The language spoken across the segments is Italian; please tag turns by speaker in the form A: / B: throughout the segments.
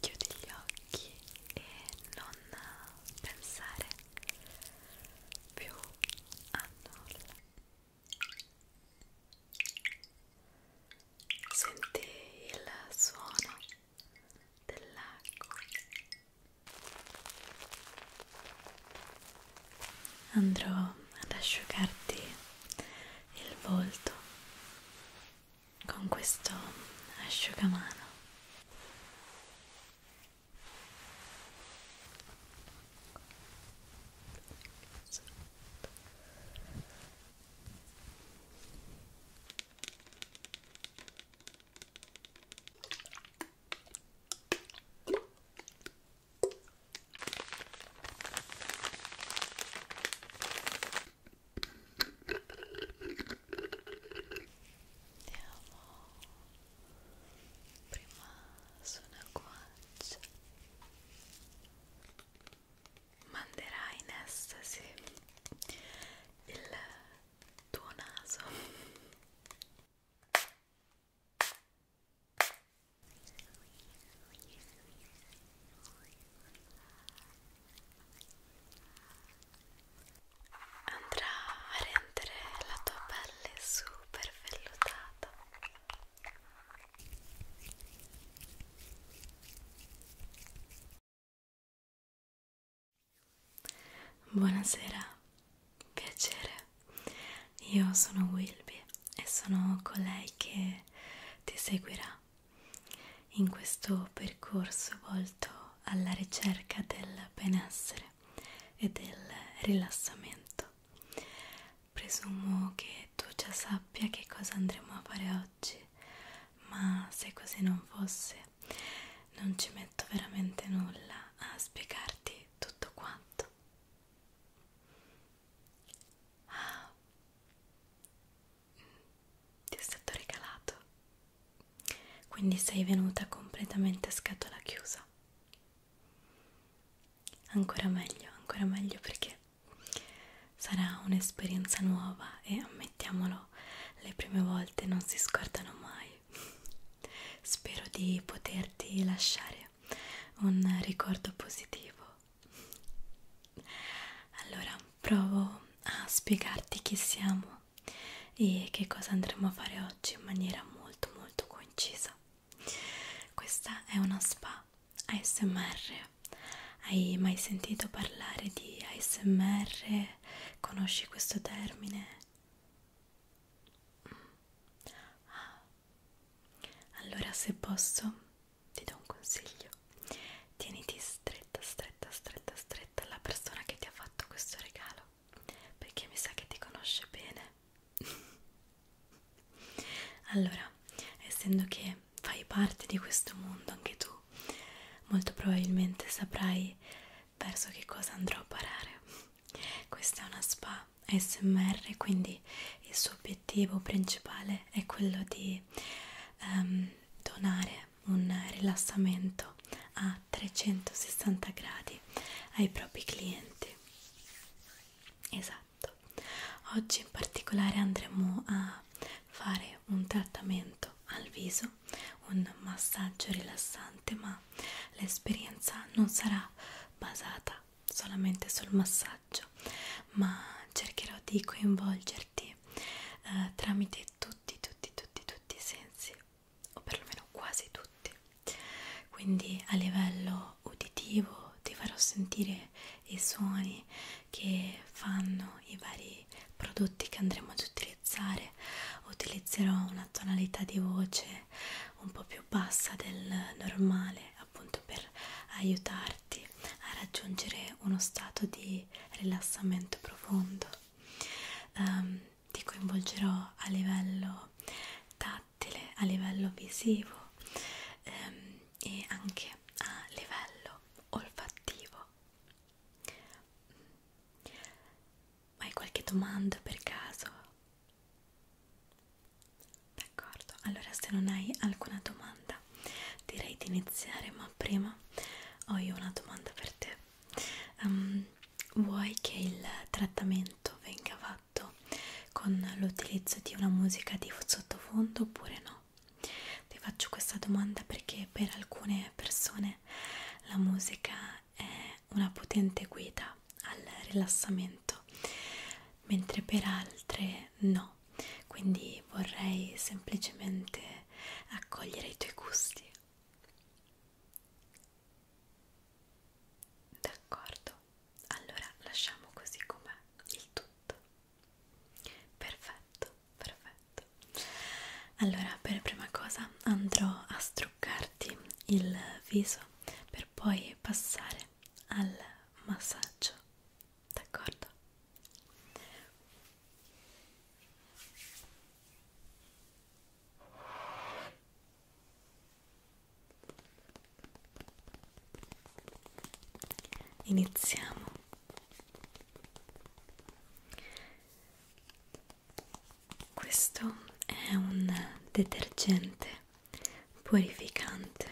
A: Chiudi gli occhi e non pensare più a nulla. Senti il suono dell'acqua andrò ad asciugarti il volto con questo asciugamano Andiamo prima su una guancia manderà in estasi il tuo naso andrà a rendere la tua pelle super vellutata Buonasera, piacere. Io sono Wilby e sono colei che ti seguirà in questo percorso volto alla ricerca del benessere e del rilassamento. Presumo che tu già sappia che cosa andremo a fare oggi, ma se così non fosse, non ci metto veramente nulla a spiegarti tutto quanto. Ah, ti è stato regalato. Quindi sei venuta completamente a scatola chiusa. Ancora meglio, ancora meglio perché sarà un'esperienza nuova e ammettiamolo, le prime volte non si scordano mai. Spero di poterti lasciare un ricordo positivo. Allora provo a spiegarti chi siamo e che cosa andremo a fare oggi in maniera molto molto concisa. Questa è una spa ASMR. Hai mai sentito parlare di ASMR? Conosci questo termine? Ah, allora se posso ti do un consiglio. Tieniti stretta, stretta, stretta, stretta alla persona che ti ha fatto questo regalo, perché mi sa che ti conosce bene. allora, essendo che fai parte di questo mondo anche tu, molto probabilmente saprai verso che cosa andrò a parare questa è una spa smr quindi il suo obiettivo principale è quello di um, donare un rilassamento a 360 gradi ai propri clienti esatto oggi in particolare andremo a fare un trattamento al viso un massaggio rilassante ma ma l'esperienza non sarà basata solamente sul massaggio, ma cercherò di coinvolgerti eh, tramite tutti, tutti, tutti, tutti i sensi, o perlomeno quasi tutti. Quindi a livello uditivo ti farò sentire i suoni che fanno i vari prodotti che andremo ad utilizzare utilizzerò una tonalità di voce un po' più bassa del normale appunto per aiutarti a raggiungere uno stato di rilassamento profondo um, ti coinvolgerò a livello tattile a livello visivo um, e anche a livello olfattivo hai qualche domanda per caso d'accordo allora se non hai alcuna domanda direi di iniziare ma prima ho io una domanda per te um, vuoi che il trattamento venga fatto con l'utilizzo di una musica di sottofondo oppure no ti faccio questa domanda perché per alcune persone la musica è una potente guida al rilassamento, mentre per altre no. Quindi vorrei semplicemente accogliere i tuoi gusti. D'accordo, allora lasciamo così com'è il tutto. Perfetto, perfetto. Allora, per prima cosa andrò a strumentare truccarti il viso per poi passare al massaggio d'accordo Iniziamo questo è un detergente purificante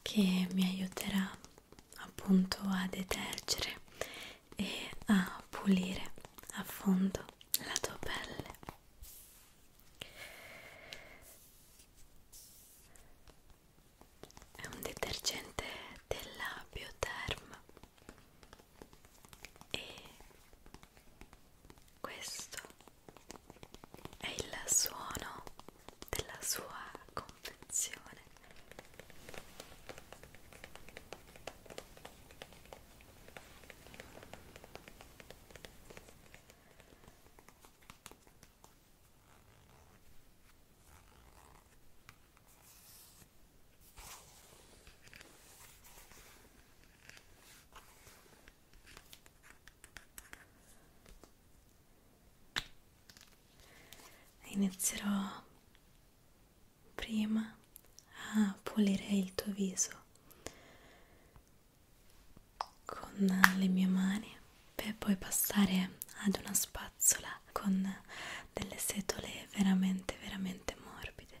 A: che mi aiuterà appunto a detergere e a pulire a fondo la tua pelle. È un detergente della Bioterm e questo è il suono della sua confezione Inizierò prima a pulire il tuo viso con le mie mani per poi passare ad una spazzola con delle setole veramente veramente morbide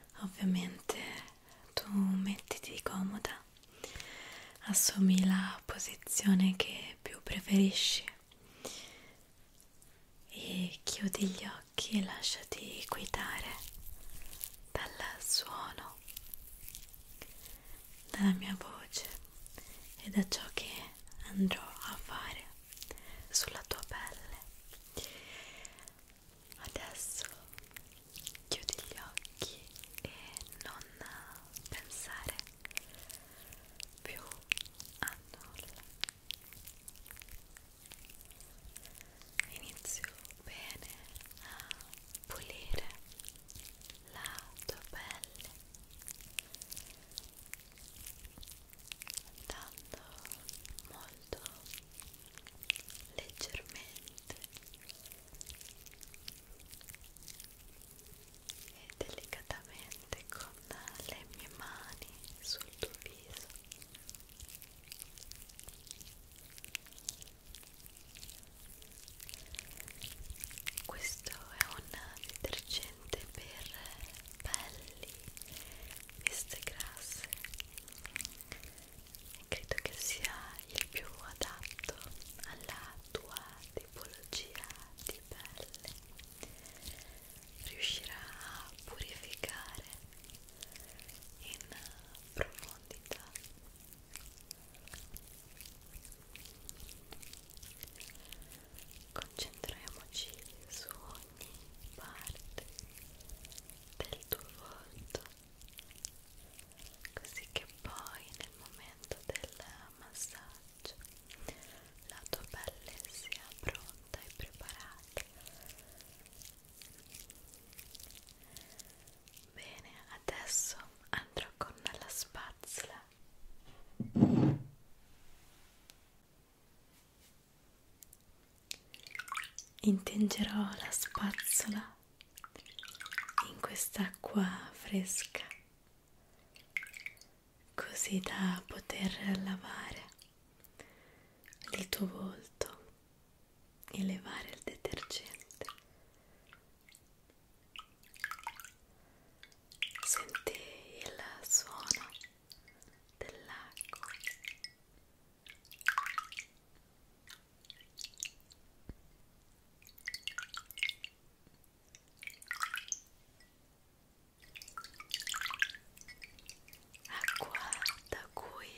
A: ovviamente tu mettiti comoda assumi la posizione che più preferisci e chiudi gli occhi e lasciati guidare dal suono dalla mia voce e da ciò che andrò a fare sulla tua pelle Adesso chiudi gli occhi e non pensare più a nulla. Inizio bene a pulire la tua pelle andando molto leggermente e delicatamente con le mie mani sul tuo viso questo è un detergente per pelli, viste grasse credo che sia il più adatto alla tua tipologia di pelle riuscirà a purificare in profondità concentriamoci su ogni parte del tuo volto così che poi nel momento del massaggio la tua pelle sia pronta e preparata bene adesso andrò con la spazzola Intingerò la spazzola in quest'acqua fresca così da poter lavare il tuo volto e levare il detergente. Senti il suono dell'acqua Acqua da cui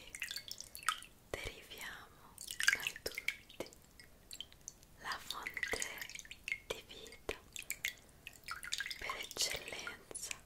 A: deriviamo noi tutti, la fonte di vita per eccellenza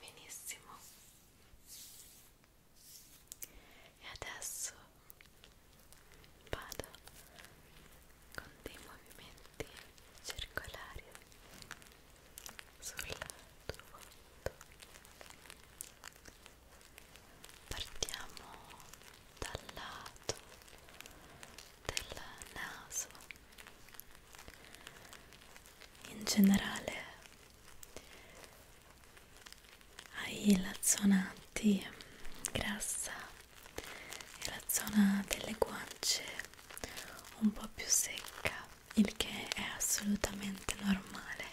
A: benissimo e adesso vado con dei movimenti circolari sul tuo volto partiamo dal lato del naso in generale hai la zona di grassa e la zona delle guance un po' più secca il che è assolutamente normale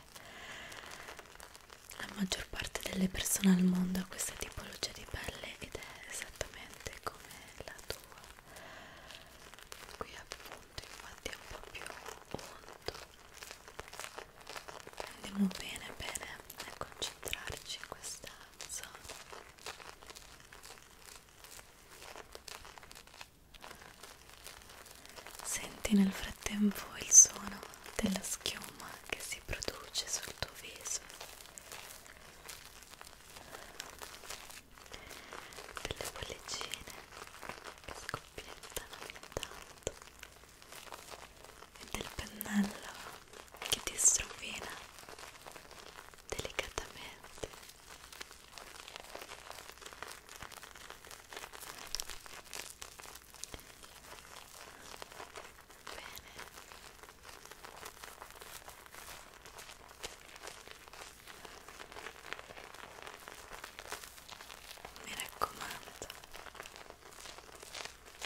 A: la maggior parte delle persone al mondo ha questa tipologia di pelle ed è esattamente come la tua qui appunto infatti è un po' più unto andiamo bene bene a concentrarci in questa zona senti nel frattempo il suono della schiuma che si produce sul tuo viso delle bollicine che scoppiettano ogni tanto e del pennello che ti strofina delicatamente Bene mi raccomando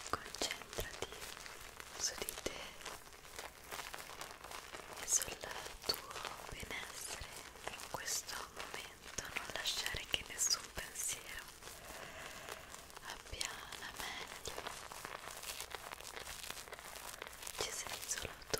A: concentrati su di te e sul tuo benessere in questo momento non lasciare che nessun pensiero abbia la meglio ci sei solo tu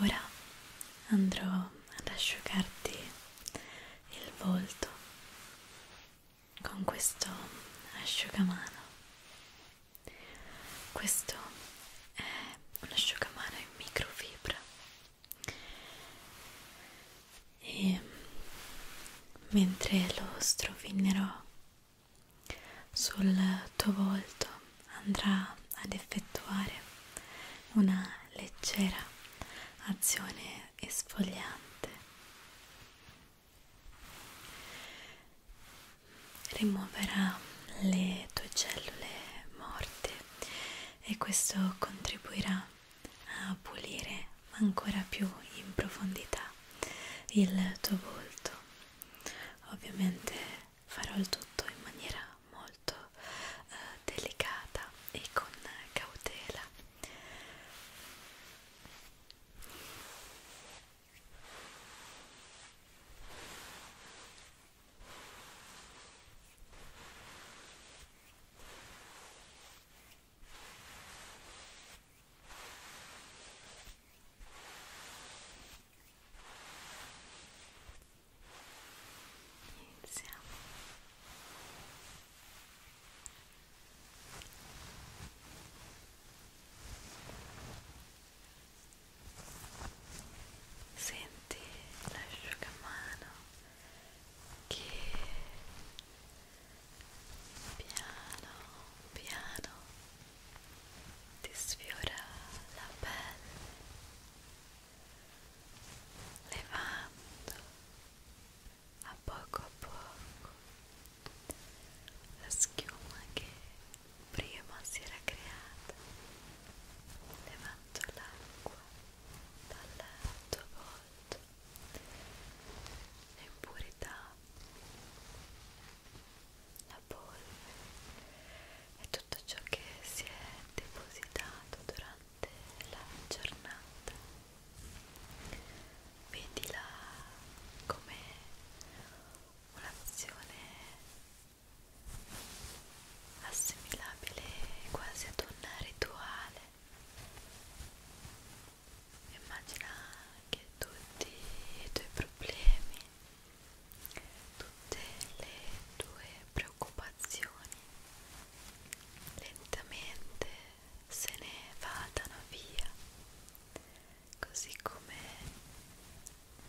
A: Ora andrò ad asciugarti il volto con questo asciugamano. Questo è un asciugamano in microfibra e mentre lo strofinerò sul tuo volto andrà ad effettuare una leggera azione esfoliante rimuoverà le tue cellule morte e questo contribuirà a pulire ma ancora più in profondità il tuo volto. Ovviamente farò il tutto in maniera molto eh, delicata e con cautela. Ora Iniziamo. Senti l'asciugamano che piano piano ti sfiora la pelle levando a poco a poco la schiuma che prima si era creata levando l'acqua dal tuo volto l'impurità la polvere e tutto ciò che si è depositato durante la giornata vedila come un'azione assimilabile quasi ad un rituale immagina che tutti i tuoi problemi, tutte le tue preoccupazioni lentamente se ne vadano via, così come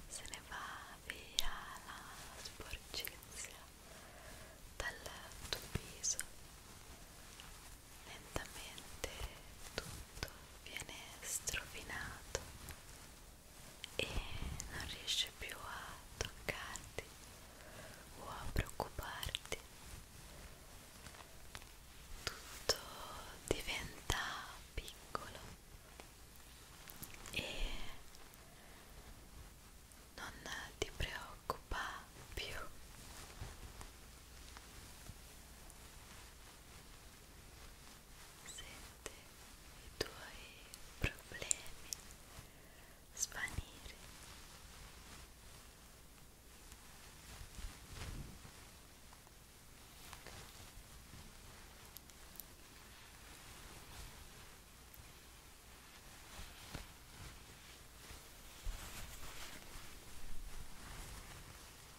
A: se ne va via la sporcizia dal tuo viso lentamente tutto viene strofinato e non riesci più a toccarti o a preoccuparti tutto diventa piccolo e non ti preoccupa più sente i tuoi problemi svanire Ora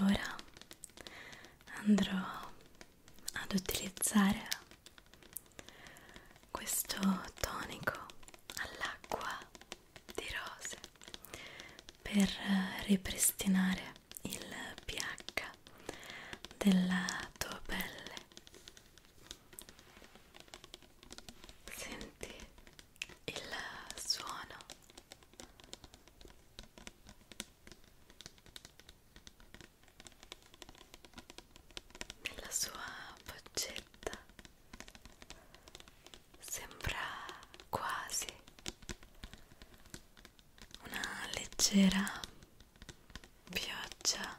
A: Ora andrò ad utilizzare questo tonico all'acqua di rose per eh, ripristinare il pH della tua pelle senti il suono nella sua boccetta sembra quasi una leggera pioggia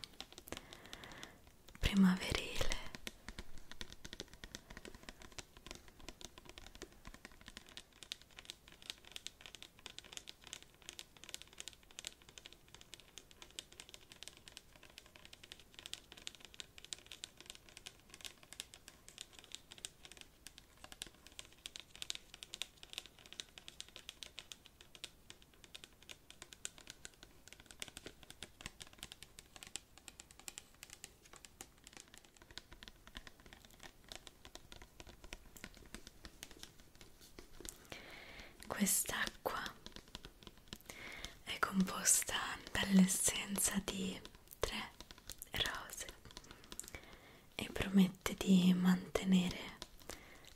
A: primaverile Quest'acqua è composta dall'essenza di tre rose e promette di mantenere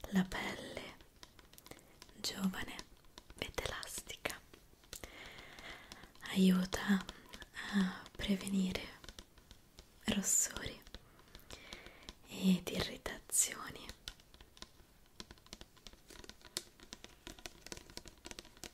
A: la pelle giovane ed elastica aiuta a prevenire rossori ed irritazioni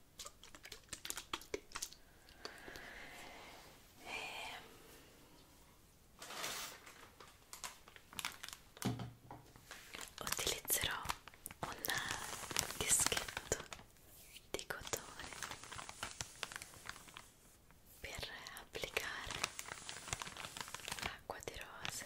A: E ehm, utilizzerò un dischetto di cotone per applicare l'acqua di rose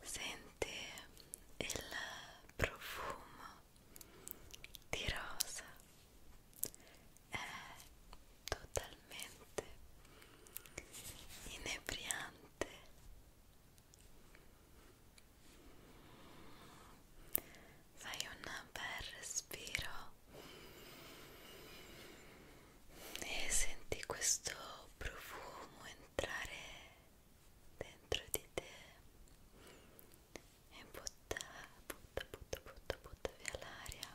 A: Senti il profumo di rosa è totalmente inebriante fai un bel respiro e senti questo profumo entrare dentro di te e butta, butta, butta, butta, butta via l'aria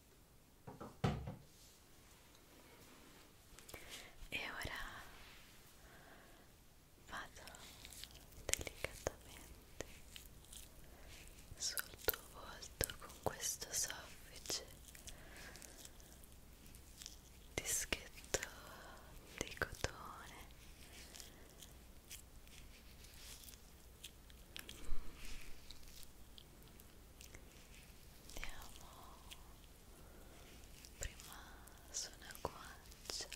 A: e ora vado delicatamente sul tuo volto con questo soffice dischetto di cotone andiamo prima su una guancia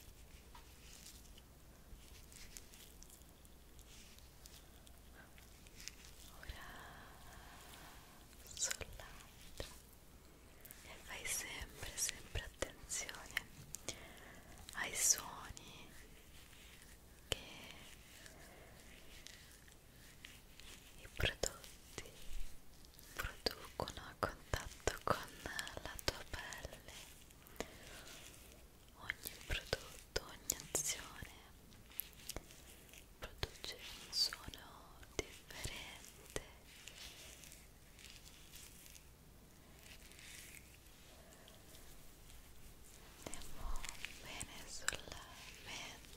A: ora sull'altra e fai sempre sempre attenzione ai suoni che i prodotti producono a contatto con la tua pelle ogni prodotto, ogni azione produce un suono differente andiamo bene sulla mente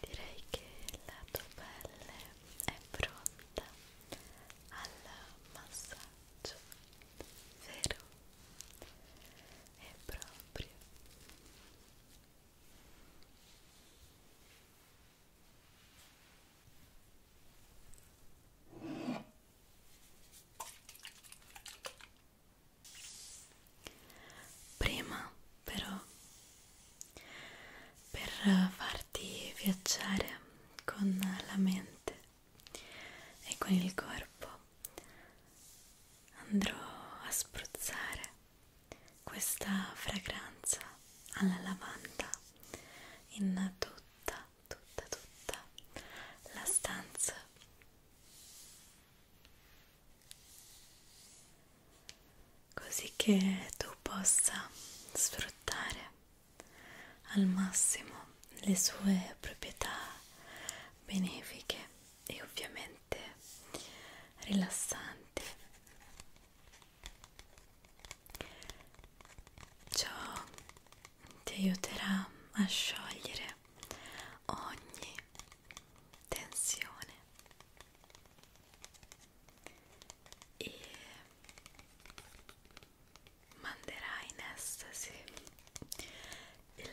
A: Direi che la tua pelle è pronta al massaggio, vero? è proprio prima però per farti viaggiare con la mente e con il corpo andrò a spruzzare questa fragranza alla lavanda in tutta, tutta, tutta la stanza. Così che tu possa sfruttare al massimo le sue proprietà benefiche e ovviamente rilassante ciò ti aiuterà a sciogliere ogni tensione e manderà in estasi il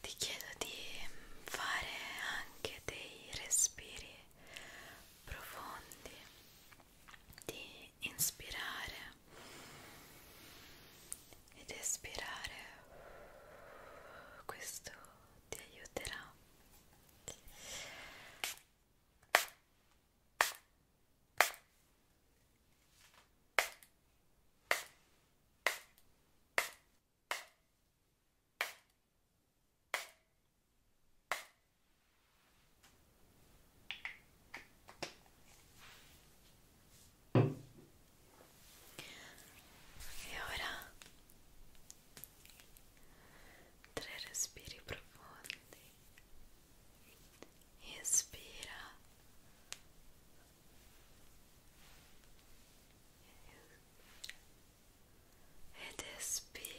A: Ti chiedo di fare anche dei respiri profondi, di inspirare ed espirare questo ti aiuterà e ora tre respiri profondi. Espira. Ed espira.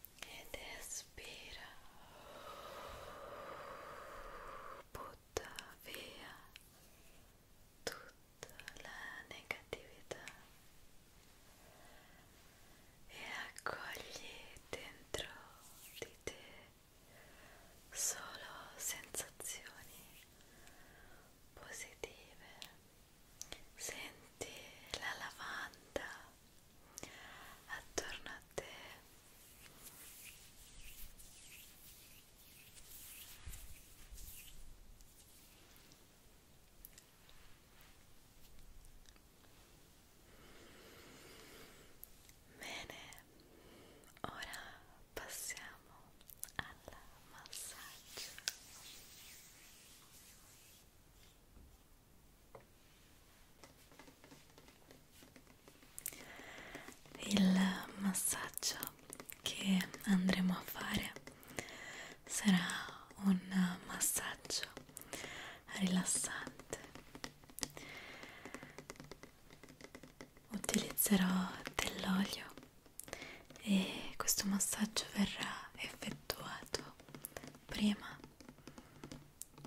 A: ed espira butta via tutta la negatività e accogli dentro di te solo sensazioni positive Senti la lavanda attorno a te. Bene, ora passiamo al massaggio. Il massaggio che andremo a fare sarà un massaggio rilassante. Utilizzerò dell'olio e questo massaggio verrà effettuato prima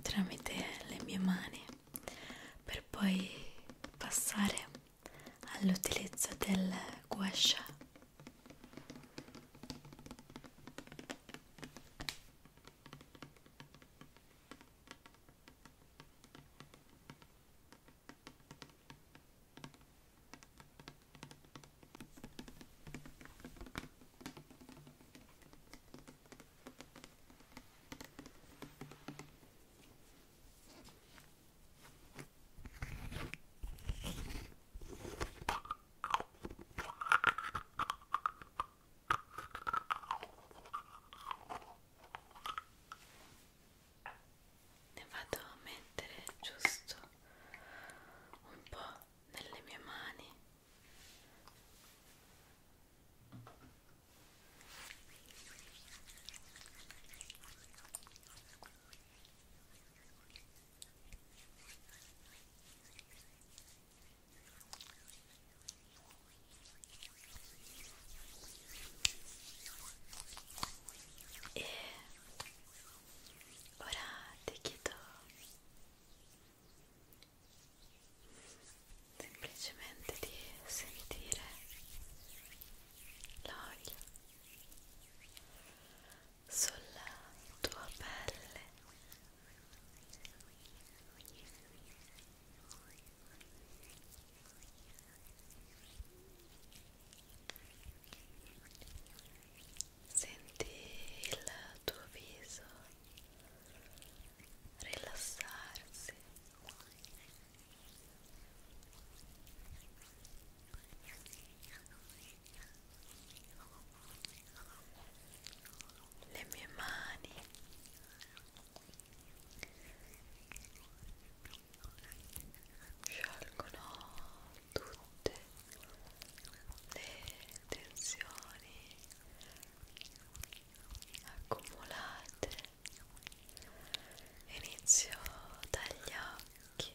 A: tramite le mie mani per poi passare all'utilizzo del guascia ne vado a mettere giusto un po' nelle mie mani e ora ti chiedo semplicemente di sentire l'olio sulla tua pelle Senti il tuo viso rilassarsi. Le mie mani sciolgono tutte le tensioni accumulate inizio dagli occhi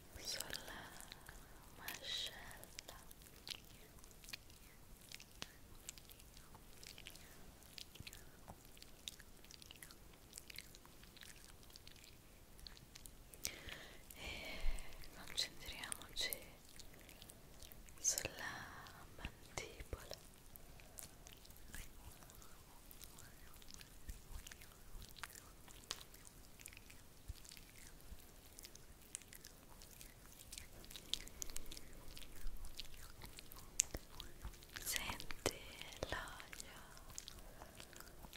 A: sulla mascella e concentriamoci sulla mandibola Senti l'aria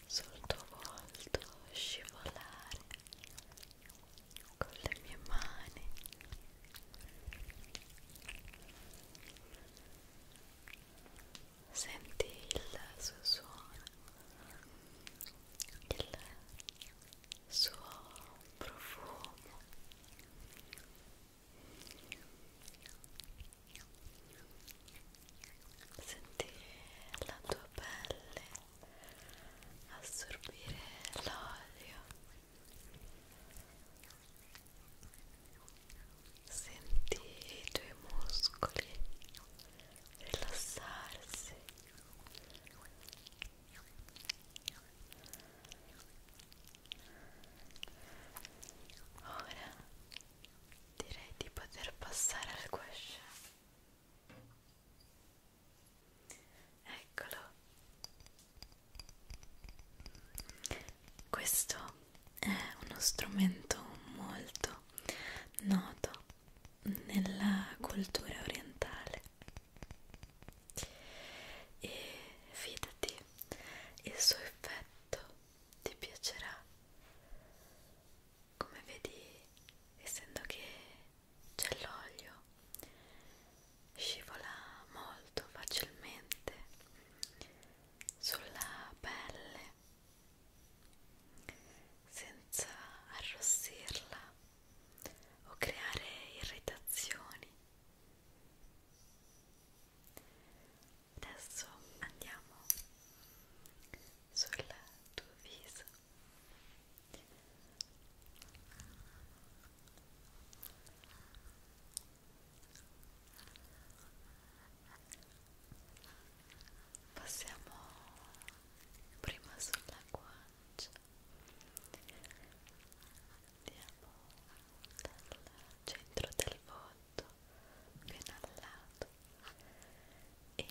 A: sul tuo volto scivolare con le mie mani. Senti il suo suono il suo profumo sentire la tua pelle assorbire l'olio senti i tuoi muscoli rilassarsi Ora direi di poter passare al gouache. Eccolo. Questo è uno strumento molto noto nella cultura orientale e fidati il suo effetto ti piacerà come vedi essendo che c'è l'olio scivola molto facilmente sulla pelle senza arrossirla o creare irritazioni. Adesso andiamo sul tuo viso. Possiamo prima sulla guancia andiamo dal centro del volto fino al lato e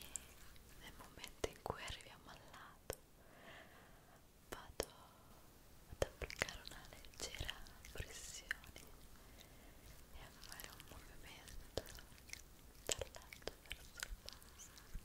A: nel momento in cui arriviamo al lato vado ad applicare una leggera pressione e a fare un movimento dal lato verso il basso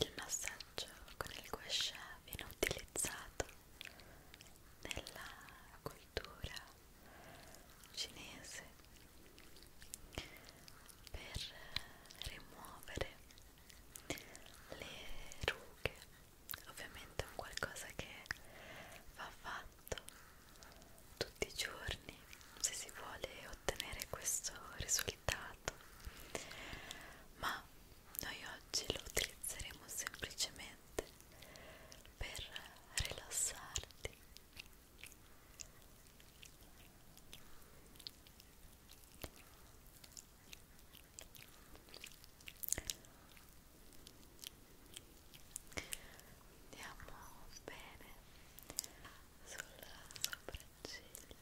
A: Il massaggio con il guascia viene utilizzato nella cultura cinese per rimuovere le rughe ovviamente è un qualcosa che va fatto tutti i giorni se si vuole ottenere questo risultato ma noi oggi lo utilizzeremo semplicemente per rilassarti andiamo bene sulla sopracciglia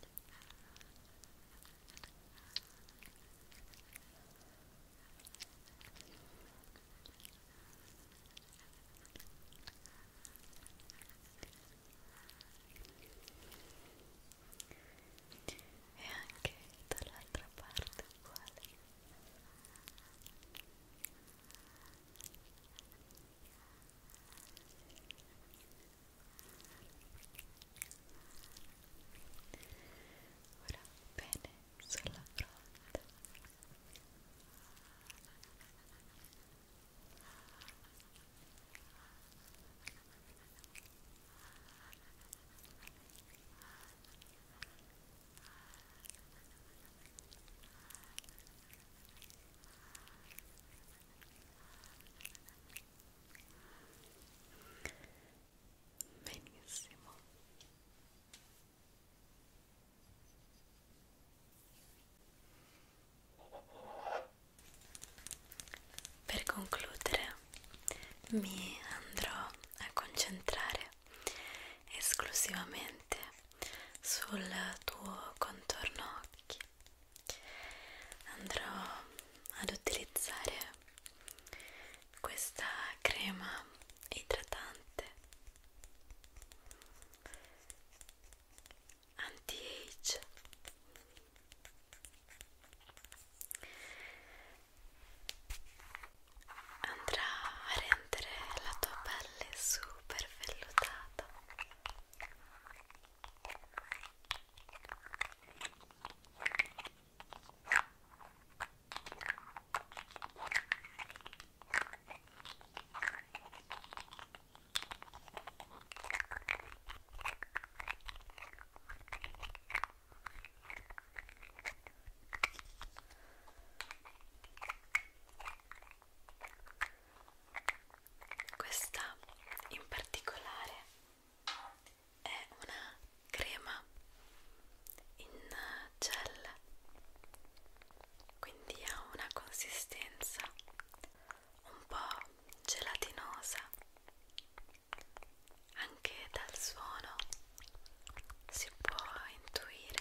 A: e anche dall'altra parte uguale Ora bene sulla fronte. Ora Benissimo. Per concludere mi andrò a concentrare esclusivamente sul tuo contorno occhi andrò ad utilizzare questa crema idratante anti-age andrà a rendere la tua pelle super vellutata questa in particolare è una crema in gel, quindi ha una consistenza un po' gelatinosa anche dal suono si può intuire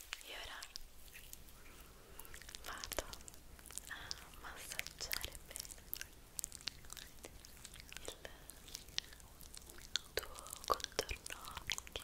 A: e ora vado a massaggiare bene il tuo contorno occhi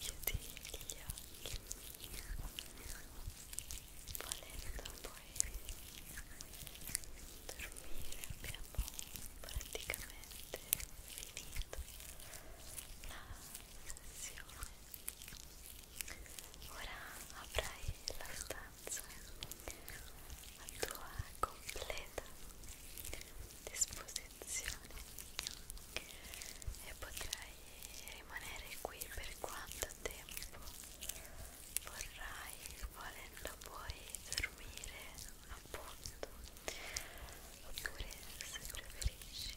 A: chiudi gli occhi volendo poi dormire abbiamo praticamente finito la sessione ora avrai la stanza a tua completa disposizione sezione e potrai rimanere qui per quanto tempo vorrai volendo poi dormire appunto oppure se preferisci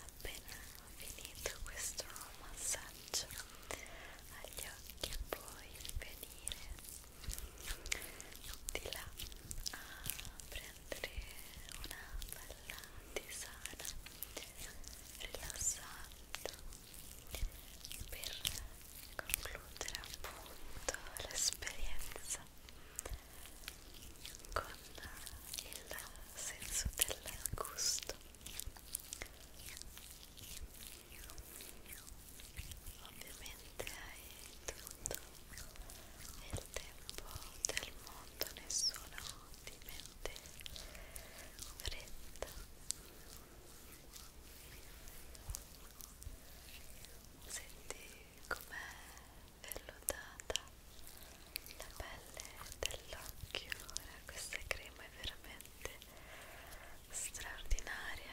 A: appena finito questo massaggio agli occhi puoi venire di là a prendere sempre una bella tisana rilassante per concludere appunto l'esperienza con il senso del gusto ovviamente hai tutto nel tempo del mondo nessuno ti mette fretta senti com'è vellutata la pelle dell'occhio ora eh, questa crema è veramente straordinaria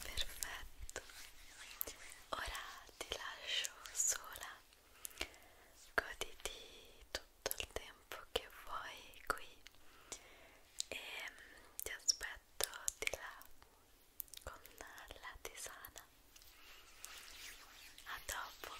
A: Perfetto. Ora ti lascio sola. Goditi tutto il tempo che vuoi qui e ehm, ti aspetto di là con la tisana. A dopo.